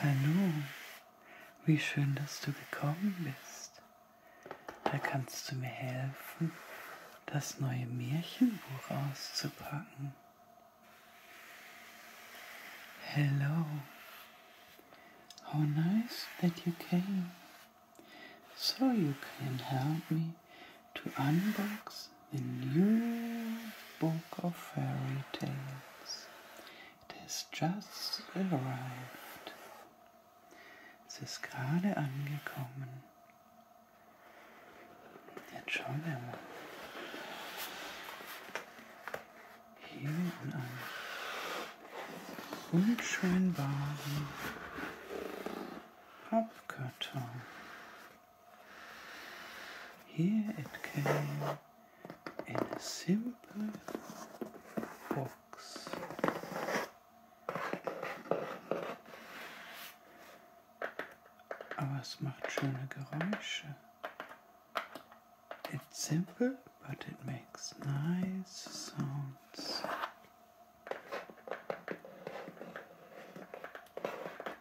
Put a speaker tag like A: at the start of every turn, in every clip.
A: Hallo, wie schön, dass du gekommen bist. Da kannst du mir helfen, das neue Märchenbuch auszupacken. Hello. How nice that you came. So you can help me to unbox the new book of fairy tales. It has just arrived. It is ist gerade angekommen. Jetzt schauen wir in einem unschönbaren Pappkarton. Here it came in a simple box. Aber es macht schöne Geräusche. It's simple, but it makes nice sounds.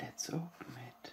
A: Let's open it.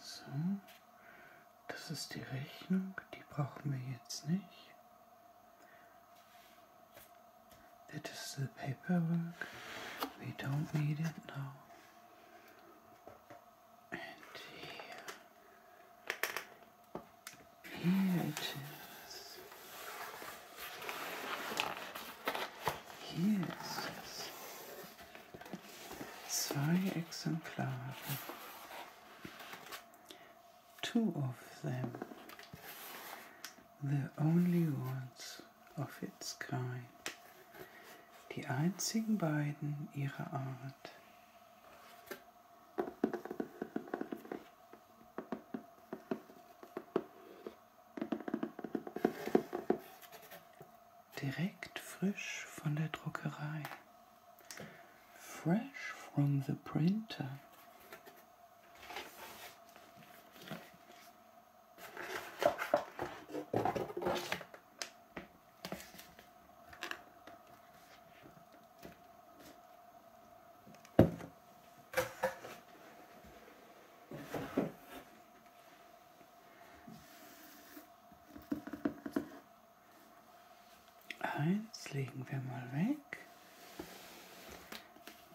A: So, das ist die Rechnung, die brauchen wir jetzt nicht. That is the paperwork, we don't need it now. And here, here it is. Jesus. Zwei Exemplare. Two of them. The only ones of its kind. Die einzigen beiden ihrer Art. Direkt frisch von der Druckerei. Fresh from the printer.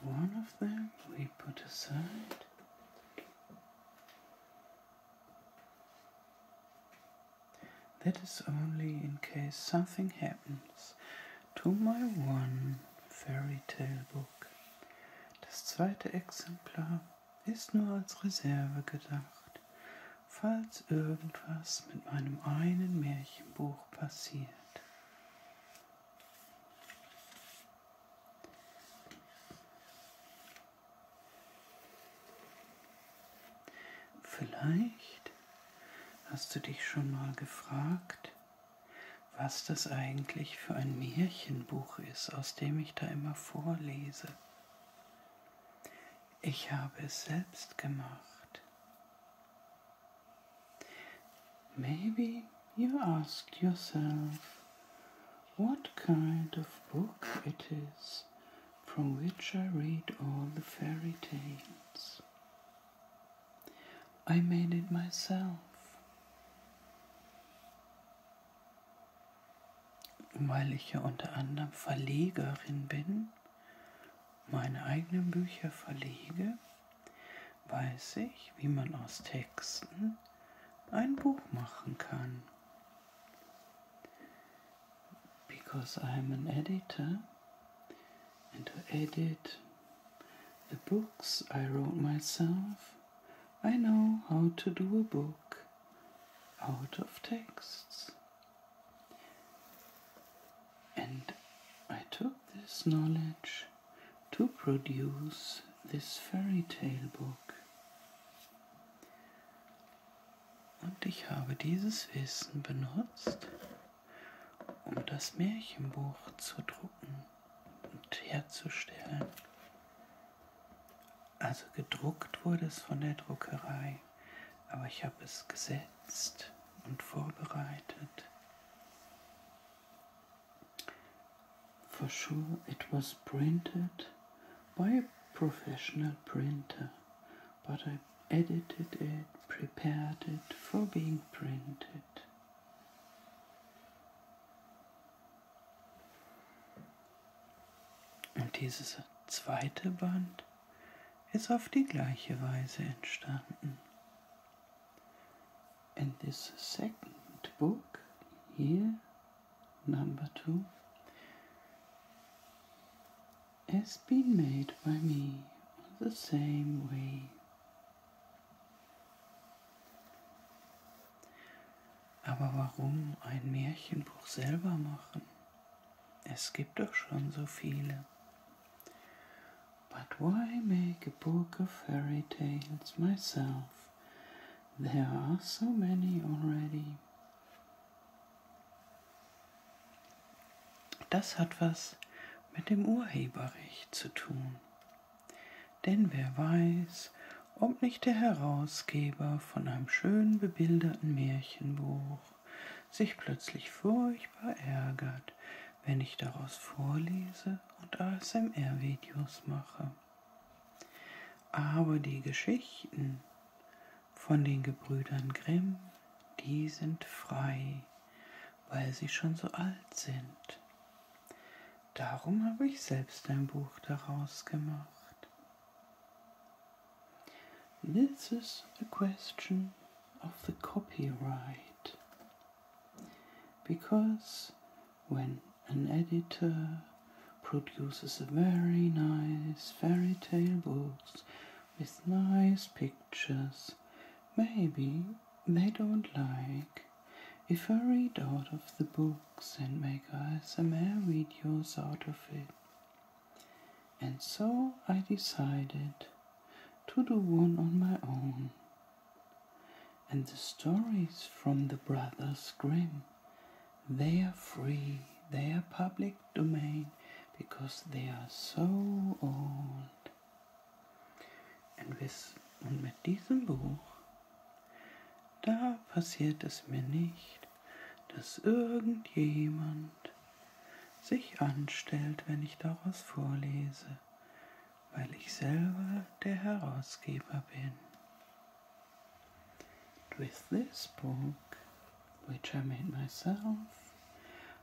A: One of them we put aside. That is only in case something happens. to my one fairy tale book. Das zweite Exemplar ist nur als Reserve gedacht, falls irgendwas mit meinem einen Märchenbuch passiert. Vielleicht hast du dich schon mal gefragt, was das eigentlich für ein Märchenbuch ist, aus dem ich da immer vorlese. Ich habe es selbst gemacht. Maybe you asked yourself what kind of book it is from which I read all the fairy tales. I made it myself. Weil ich ja unter anderem Verlegerin bin, meine eigenen Bücher verlege, weiß ich, wie man aus Texten ein Buch machen kann. Because I'm an editor and to edit The books I wrote myself, I know how to do a book out of texts. And I took this knowledge to produce this fairy tale book. Und ich habe dieses Wissen benutzt, um das Märchenbuch zu drucken und herzustellen. Also gedruckt wurde es von der Druckerei, aber ich habe es gesetzt und vorbereitet. For sure it was printed by a professional printer, but I edited it, prepared it for being printed. Und dieses zweite Band ist auf die gleiche Weise entstanden. And this second book here, number two, has been made by me on the same way. Aber warum ein Märchenbuch selber machen? Es gibt doch schon so viele. But why make a book of fairy tales myself? There are so many already. Das hat was mit dem Urheberrecht zu tun. Denn wer weiß, ob nicht der Herausgeber von einem schön bebilderten Märchenbuch sich plötzlich furchtbar ärgert, wenn ich daraus vorlese und ASMR-Videos mache. Aber die Geschichten von den Gebrüdern Grimm, die sind frei, weil sie schon so alt sind. Darum habe ich selbst ein Buch daraus gemacht. This is a question of the copyright. Because when an editor produces a very nice fairy tale books with nice pictures, maybe they don't like If I read out of the books and make eyes, I may read yours out of it. And so I decided to do one on my own. And the stories from the Brothers Grimm, they are free, they are public domain, because they are so old. Und mit diesem Buch, da passiert es mir nicht, dass irgendjemand sich anstellt, wenn ich daraus vorlese, weil ich selber der Herausgeber bin. With this book, which I made myself,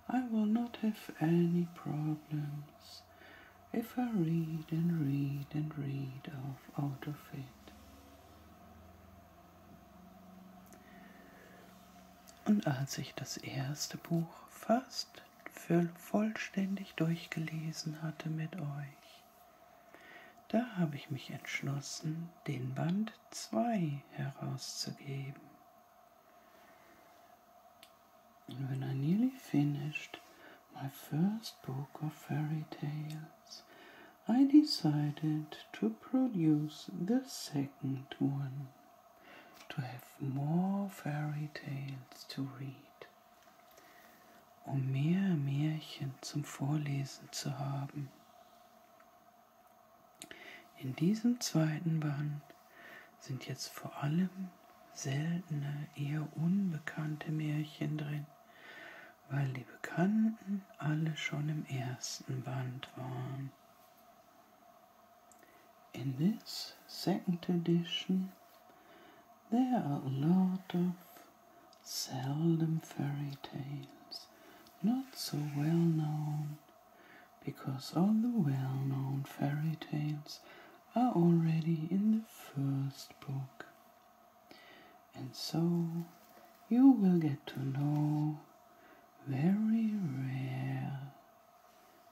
A: I will not have any problems words if I read and read and read off out of it. Und als ich das erste Buch fast vollständig durchgelesen hatte mit euch, da habe ich mich entschlossen, den Band 2 herauszugeben. And when I nearly finished my first book of fairy tales, I decided to produce the second one to have more fairy tales to read, um mehr Märchen zum Vorlesen zu haben. In diesem zweiten Band sind jetzt vor allem seltene, eher unbekannte Märchen drin, weil die Bekannten alle schon im ersten Band waren. In this second edition, there are a lot of seldom fairy tales, not so well known, because all the well known fairy tales are already in the first book, and so you will get to know very rare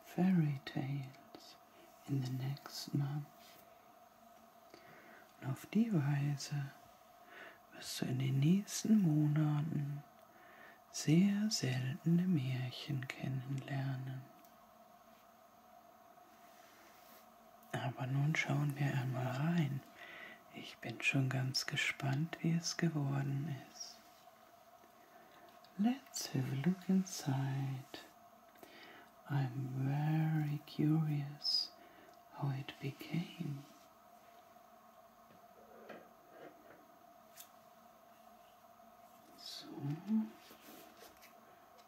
A: fairy tales in the next month. Und auf die Weise wirst du in den nächsten Monaten sehr seltene Märchen kennenlernen. Aber nun schauen wir einmal rein. Ich bin schon ganz gespannt, wie es geworden ist. Let's have a look inside. I'm very curious how it became. So.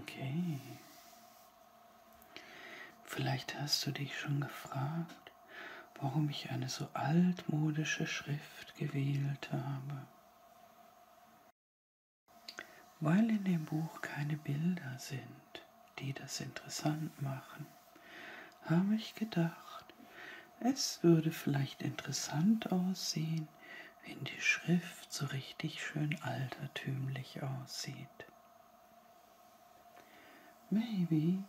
A: Okay. Vielleicht hast du dich schon gefragt, warum ich eine so altmodische Schrift gewählt habe. Weil in dem Buch keine Bilder sind die das interessant machen, habe ich gedacht, es würde vielleicht interessant aussehen, wenn die Schrift so richtig schön altertümlich aussieht. Maybe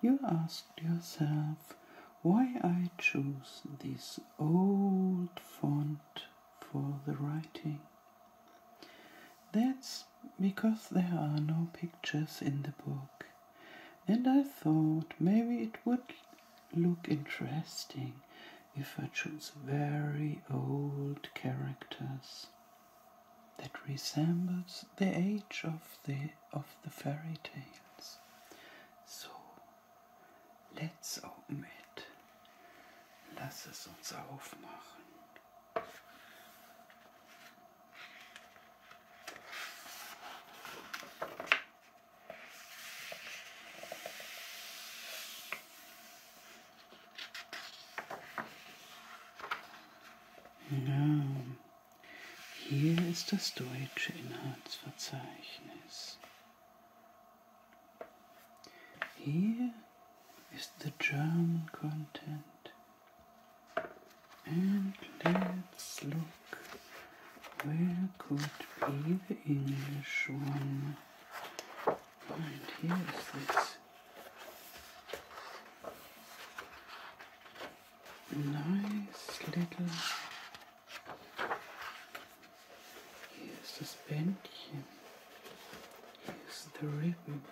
A: you asked yourself why I choose this old font for the writing. That's because there are no pictures in the book, and I thought maybe it would look interesting if I chose very old characters that resembles the age of the of the fairy tales. So let's open it. Ja, hier ist das deutsche Inhaltsverzeichnis. Hier is the German content. And let's look where could be the English one. And here is this nice little here's this bench. Here's the ribbon.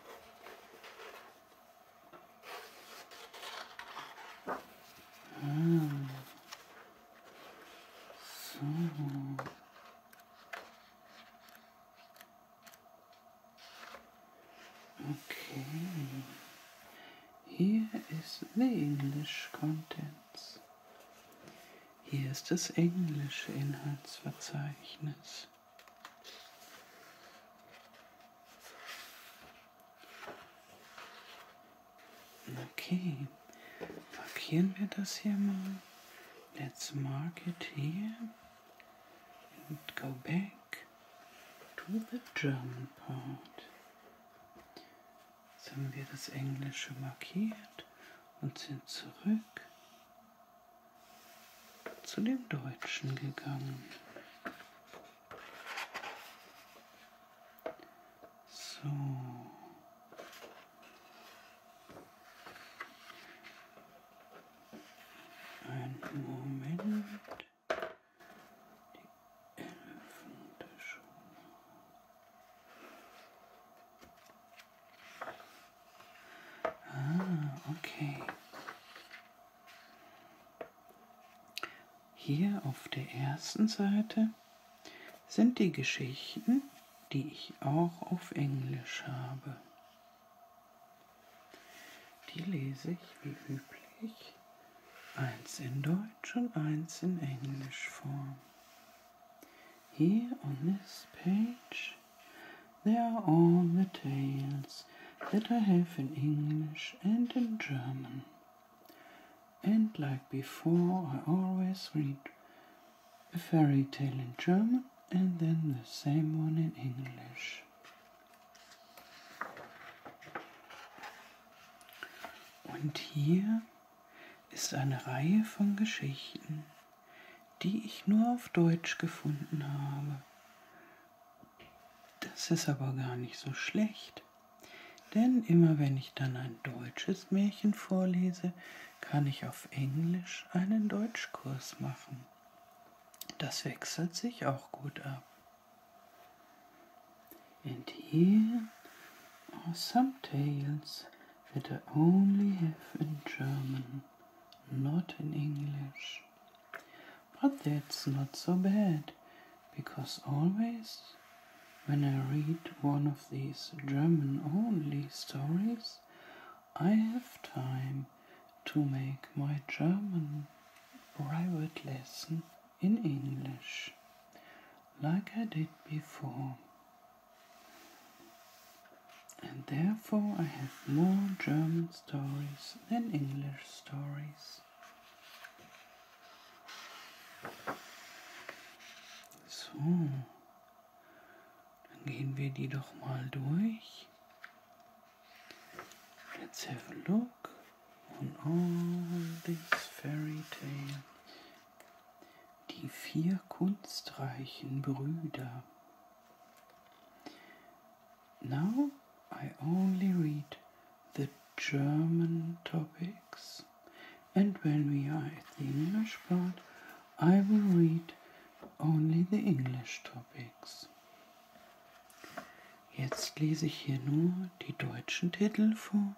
A: Okay. Hier ist the English Contents. Hier ist das englische Inhaltsverzeichnis. Okay, markieren wir das hier mal. Let's mark it here and go back to the German part. Jetzt haben wir das Englische markiert und sind zurück zu dem Deutschen gegangen. So. Ein Moment. Die Elfen der Schule. Ah, okay. Hier auf der ersten Seite sind die Geschichten, die ich auch auf Englisch habe. Die lese ich wie üblich eins in Deutsch und eins in Englisch vor. Here on this page They are all the tales that I have in English and in German. And like before, I always read a fairy tale in German and then the same one in English. Und hier ist eine Reihe von Geschichten die ich nur auf Deutsch gefunden habe. Das ist aber gar nicht so schlecht, denn immer wenn ich dann ein deutsches Märchen vorlese, kann ich auf Englisch einen Deutschkurs machen. Das wechselt sich auch gut ab. And here are some tales that I only have in German. not in English. But that's not so bad, because always when I read one of these German only stories, I have time to make my German private lesson in English, like I did before. and therefore I have more German stories than English stories. So, dann gehen wir die doch mal durch. Let's have a look on all this fairy tale. Die vier kunstreichen Brüder. Now I only read the German topics, and when we are at the English part, I will read only the English topics. Jetzt lese ich hier nur die deutschen Titel vor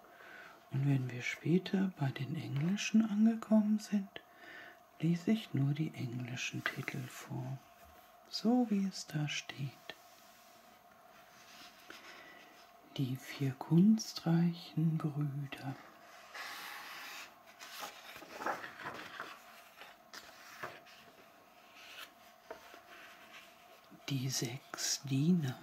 A: und wenn wir später bei den englischen angekommen sind, lese ich nur die englischen Titel vor, so wie es da steht. Die vier kunstreichen Brüder. Die sechs Diener.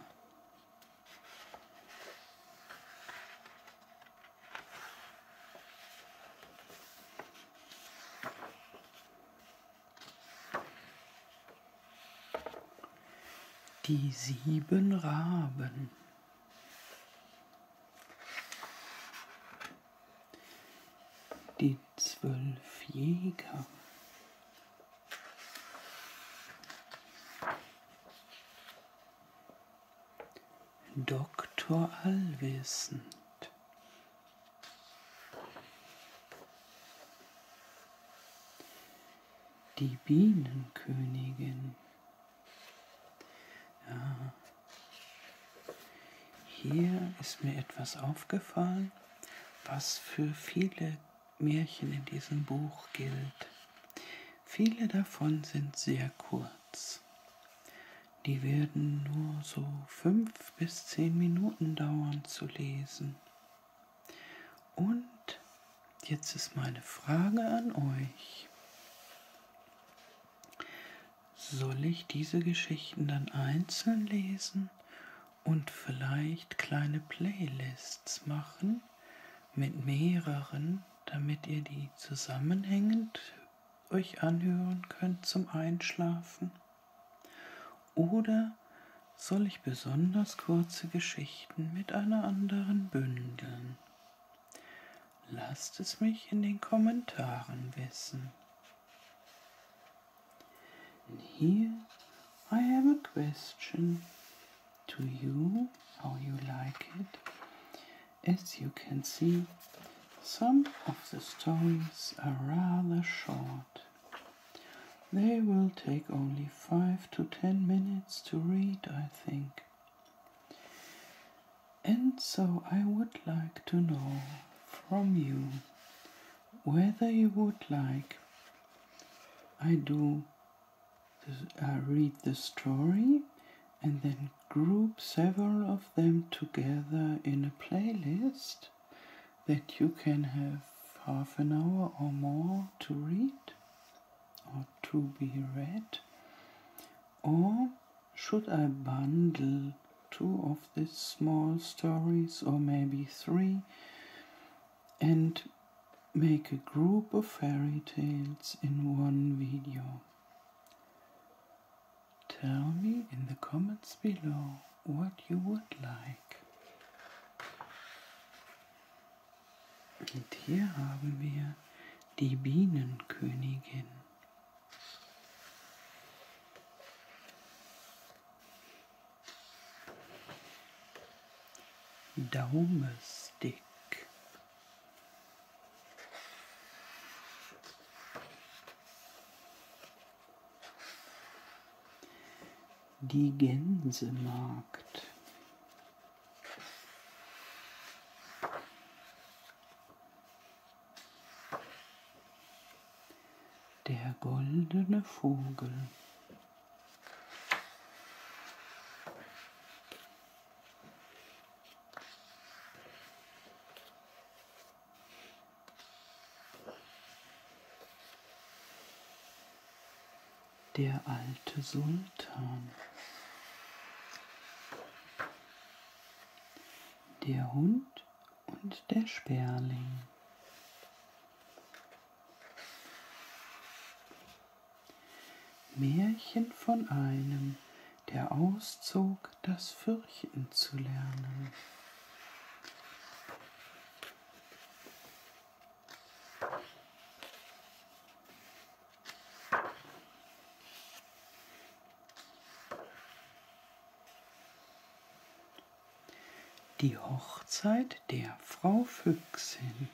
A: Die sieben Raben. Die zwölf Jäger. Doktor Allwissend. Die Bienenkönigin. Ja. Hier ist mir etwas aufgefallen, was für viele Märchen in diesem Buch gilt. Viele davon sind sehr kurz. Die werden nur so fünf bis zehn Minuten dauern zu lesen. Und jetzt ist meine Frage an euch. Soll ich diese Geschichten dann einzeln lesen und vielleicht kleine Playlists machen mit mehreren, damit ihr die zusammenhängend euch anhören könnt zum Einschlafen? Oder soll ich besonders kurze Geschichten mit einer anderen bündeln? Lasst es mich in den Kommentaren wissen. And here I have a question to you, how you like it. As you can see, Some of the stories are rather short. They will take only 5 to 10 minutes to read, I think. And so I would like to know from you whether you would like I do uh, read the story and then group several of them together in a playlist that you can have half an hour or more to read or to be read? Or should I bundle two of these small stories or maybe three and make a group of fairy tales in one video? Tell me in the comments below what you would like. Und hier haben wir die Bienenkönigin. Daumestick. Die Gänsemarkt. Der goldene Vogel. Der alte Sultan. Der Hund und der Sperling. Märchen von einem, der auszog das Fürchten zu lernen. Die Hochzeit der Frau Füchsin.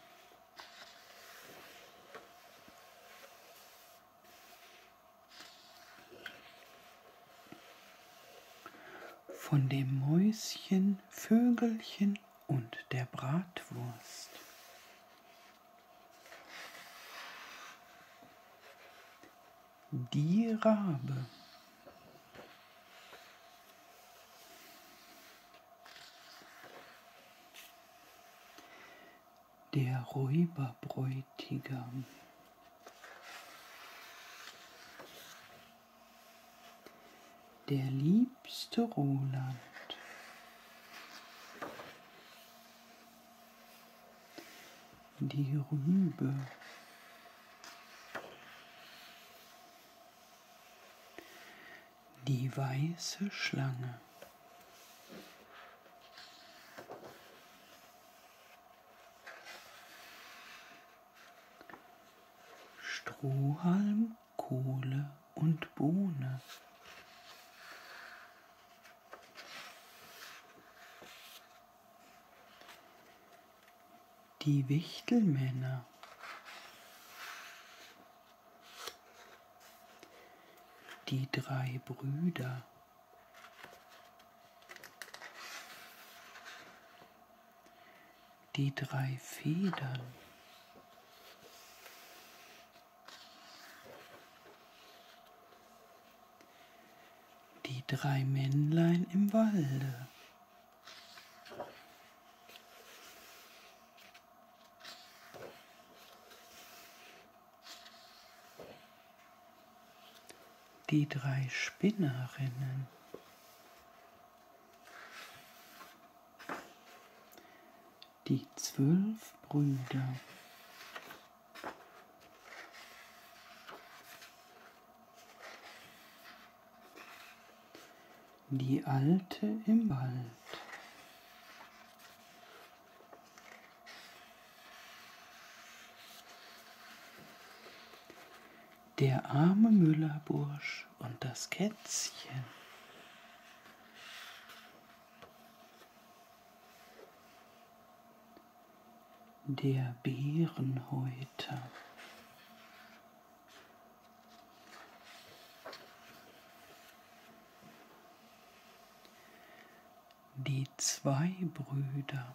A: Von dem Mäuschen, Vögelchen und der Bratwurst. Die Rabe. Der Räuberbräutigam. Der liebste Roland. Die Rübe. Die weiße Schlange. Strohhalm, Kohle und Bohne. Die Wichtelmänner. Die drei Brüder. Die drei Federn. Die drei Männlein im Walde die drei Spinnerinnen. Die zwölf Brüder. Die Alte im Wald. Der arme Müllerbursch und das Kätzchen. Der Bärenhäuter. Die zwei Brüder.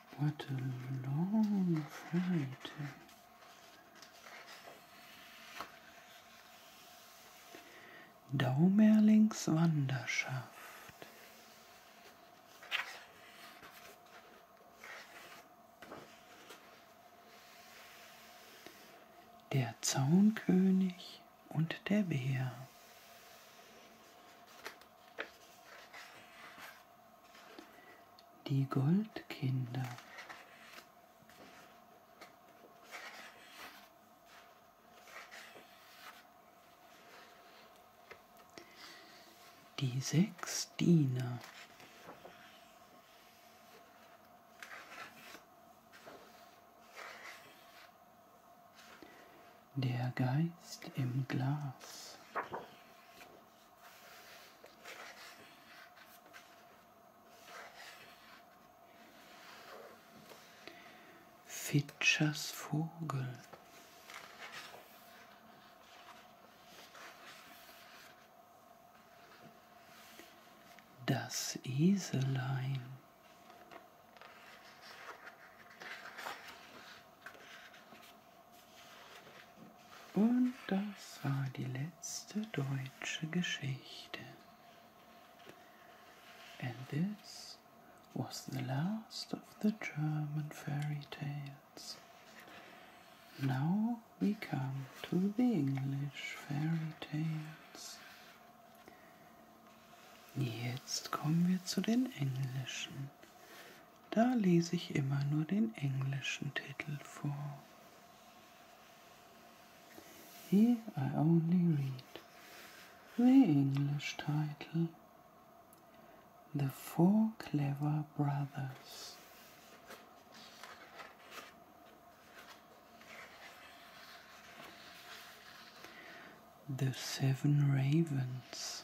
A: What a long Friday. Daumerlings Wanderschaft. Der Zaunkönig und der Bär. Die Goldkinder. Die sechs Diener. Der Geist im Glas. Fitschers Vogel. Das Eselein. Und das war die letzte deutsche Geschichte. And this was the last of the German fairy tales. Now we come to the English fairy tales. Jetzt kommen wir zu den englischen da lese ich immer nur den englischen Titel vor. Here I only read the English title The Four Clever Brothers. The Seven Ravens.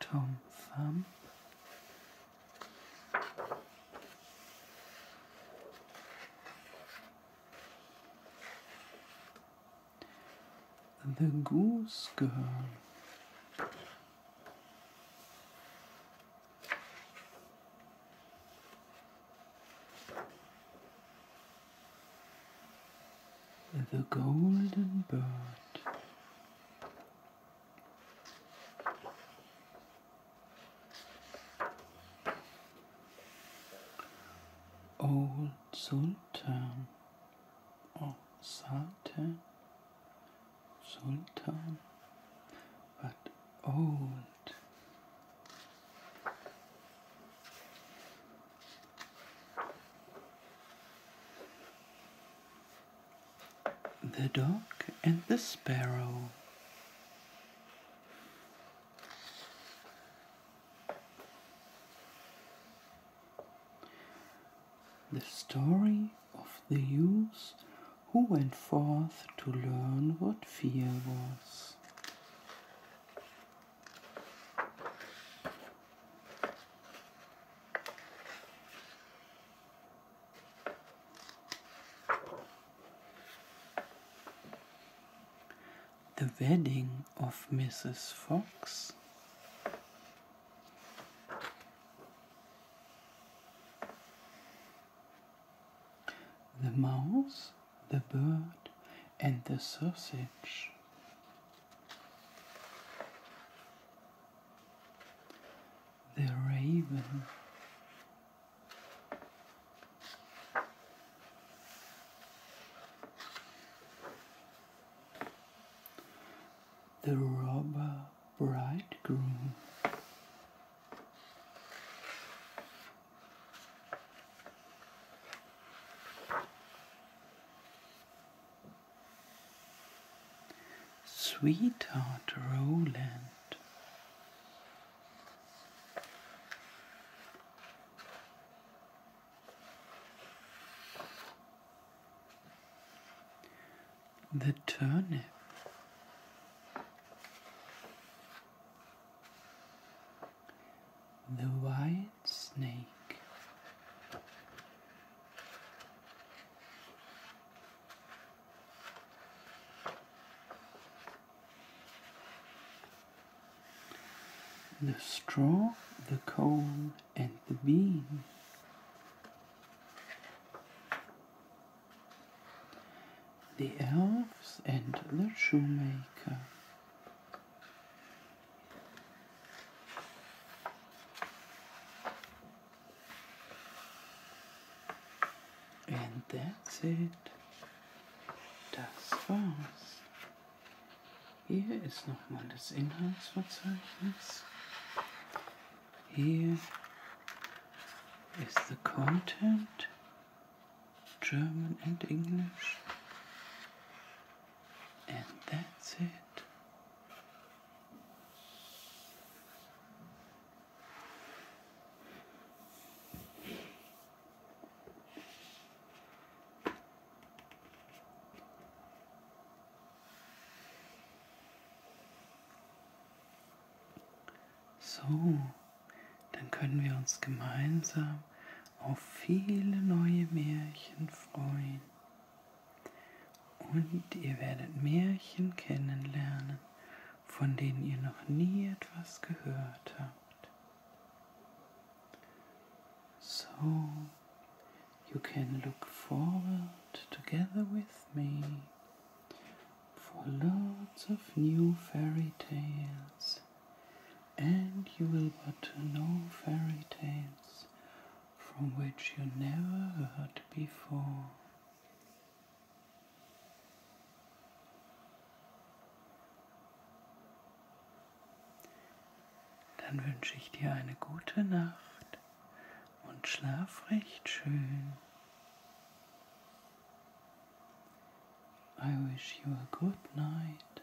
A: Tom Thumb. The Goose Girl. The golden bird. Old Sultan oh Sultan, Sultan, but old. The Dog and the Sparrow. The story of the youth who went forth to learn what fear was. The Wedding of Mrs. Fox. The Mouse, the Bird, and the Sausage. The raven. The robber bridegroom. Sweetheart Roland. The turnip. The wine snake. The straw, the coal, and the bean. The elves and the shoemaker. And that's it. Das war's. Hier ist nochmal das Inhaltsverzeichnis. Hier ist the content, German and English. And that's it. So, dann können wir uns gemeinsam auf viele neue Märchen freuen. Und ihr werdet Märchen kennenlernen, von denen ihr noch nie etwas gehört habt. So, you can look forward together with me for lots of new fairy tales, and you will but know fairy tales from which you never heard before. Dann wünsche ich dir eine gute Nacht und schlaf recht schön. I wish you a good night